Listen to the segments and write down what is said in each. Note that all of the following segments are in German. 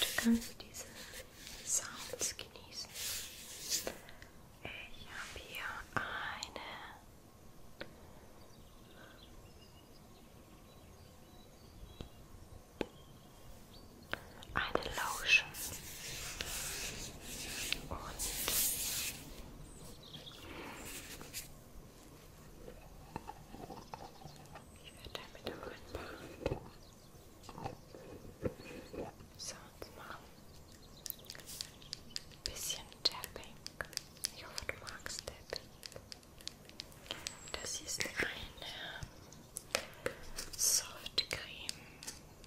Du kannst diese Sounds genießen. Ich habe hier eine eine Lotion und ich werde damit auch ein paar Sounds machen. Ein bisschen Tapping. Ich hoffe, du magst Tapping. Das ist eine Softcreme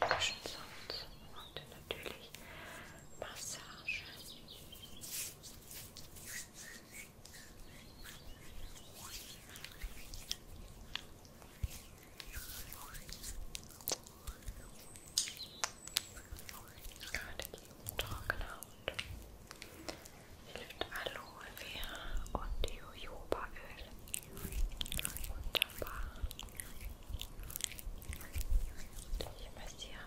frischen Sounds und natürlich Massage. Gerade gegen trockene Haut hilft Aloe Vera und Jojobaöl. Wunderbar. Ich massiere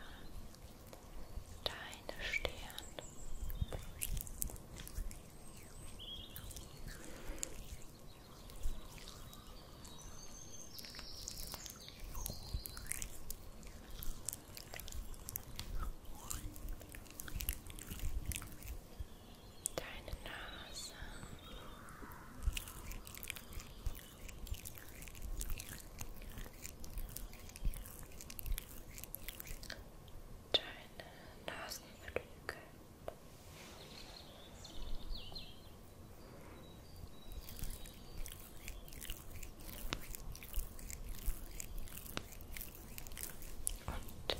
deine Stirn. Deine Nase. Deine Nasenflügel.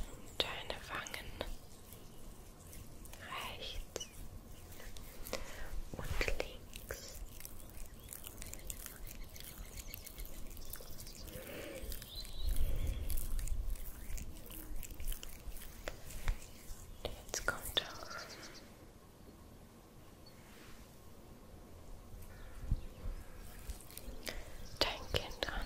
Und deine Wangen rechts und links. Und jetzt kommt auch dein Kind an.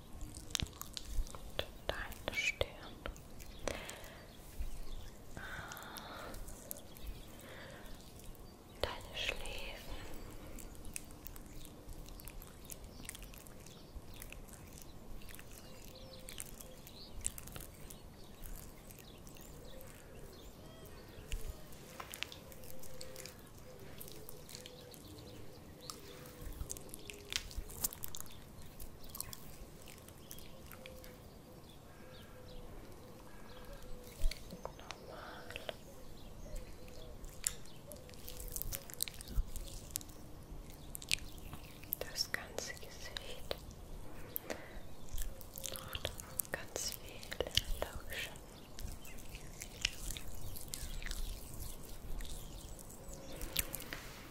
Und deine Stirn. Deine Schläfen. Das ganze Gesicht und ganz viel Lotion.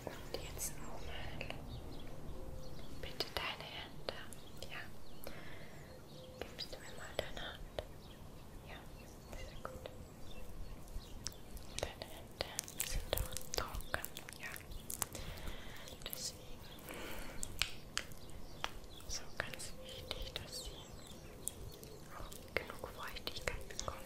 Und jetzt nochmal. Bitte deine Hände. Ja. Gibst du mir mal deine Hand? Ja, sehr gut. Deine Hände sind doch trocken. Ja. Deswegen. So ganz wichtig, dass sie auch genug Feuchtigkeit bekommen.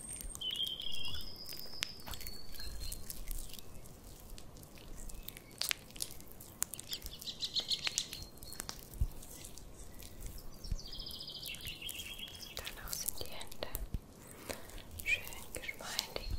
Danach sind die Hände schön geschmeidig.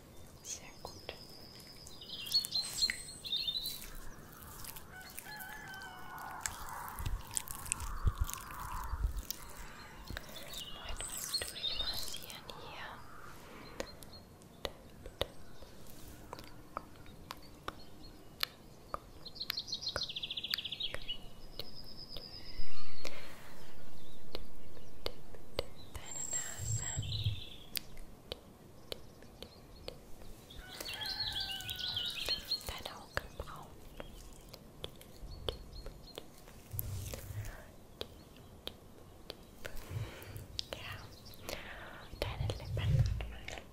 Sehr gut. Leute, durchmassieren hier. Tip, tip. Deine Nase. Deine Augenbrauen. Ja. Deine Lippen. Deine Lippen.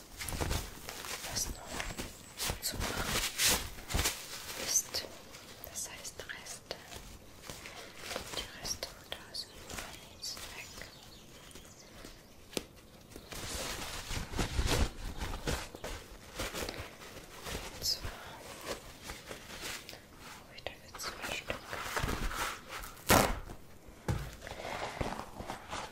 Was noch zu machen ist, das heißt Reste. Die Reste und da sind alles weg. Und zwar habe ich dafür zwei Stück.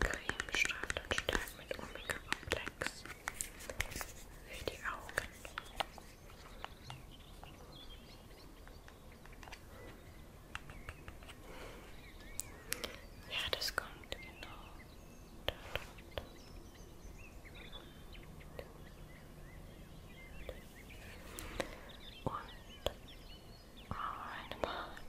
Cremestaft und stark mit Omega-Komplex für die Augen. Ja, das kommt genau. Da, da, da. Und eine Bart.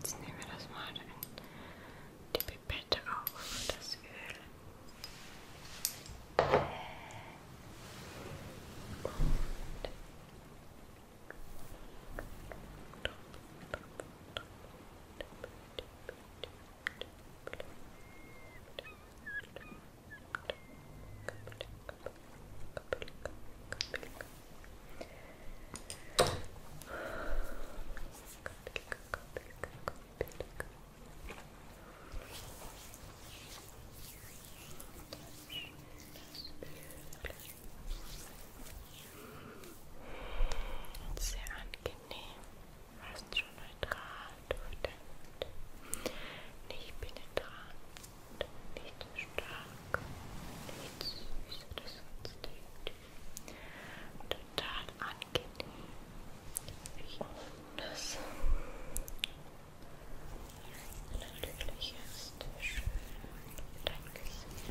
Jetzt nehmen wir das mal in die Pipette auf, das Öl. Und sehr angenehm, fast schon neutral, durchdämmend, nicht penetrant nicht zu stark, nicht zu süß oder sonst irgendwie. Total angenehm. Ich das natürlich ist schön dein Gesicht.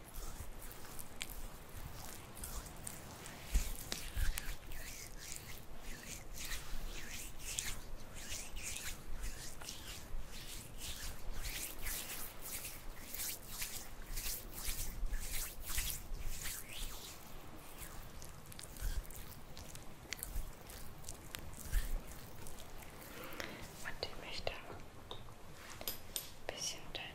Und ich möchte ein bisschen dein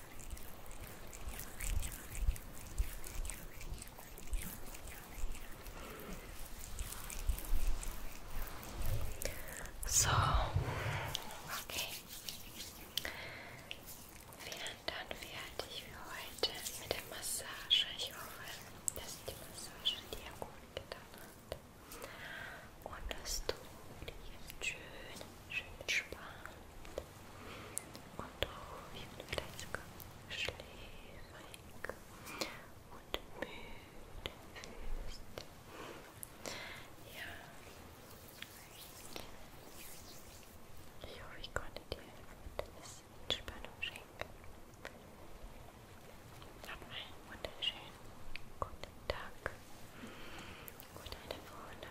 So, okay. Wären dann fertig für heute mit der Massage. Ich hoffe, dass die Massage dir gut getan hat. Und dass du dich jetzt schön, schön entspannt und ruhig und vielleicht sogar schläfrig und müde fühlst. Ja. Ich hoffe, ich konnte dir etwas Entspannung schenken. Hab einen wunderschönen guten Tag, gute Woche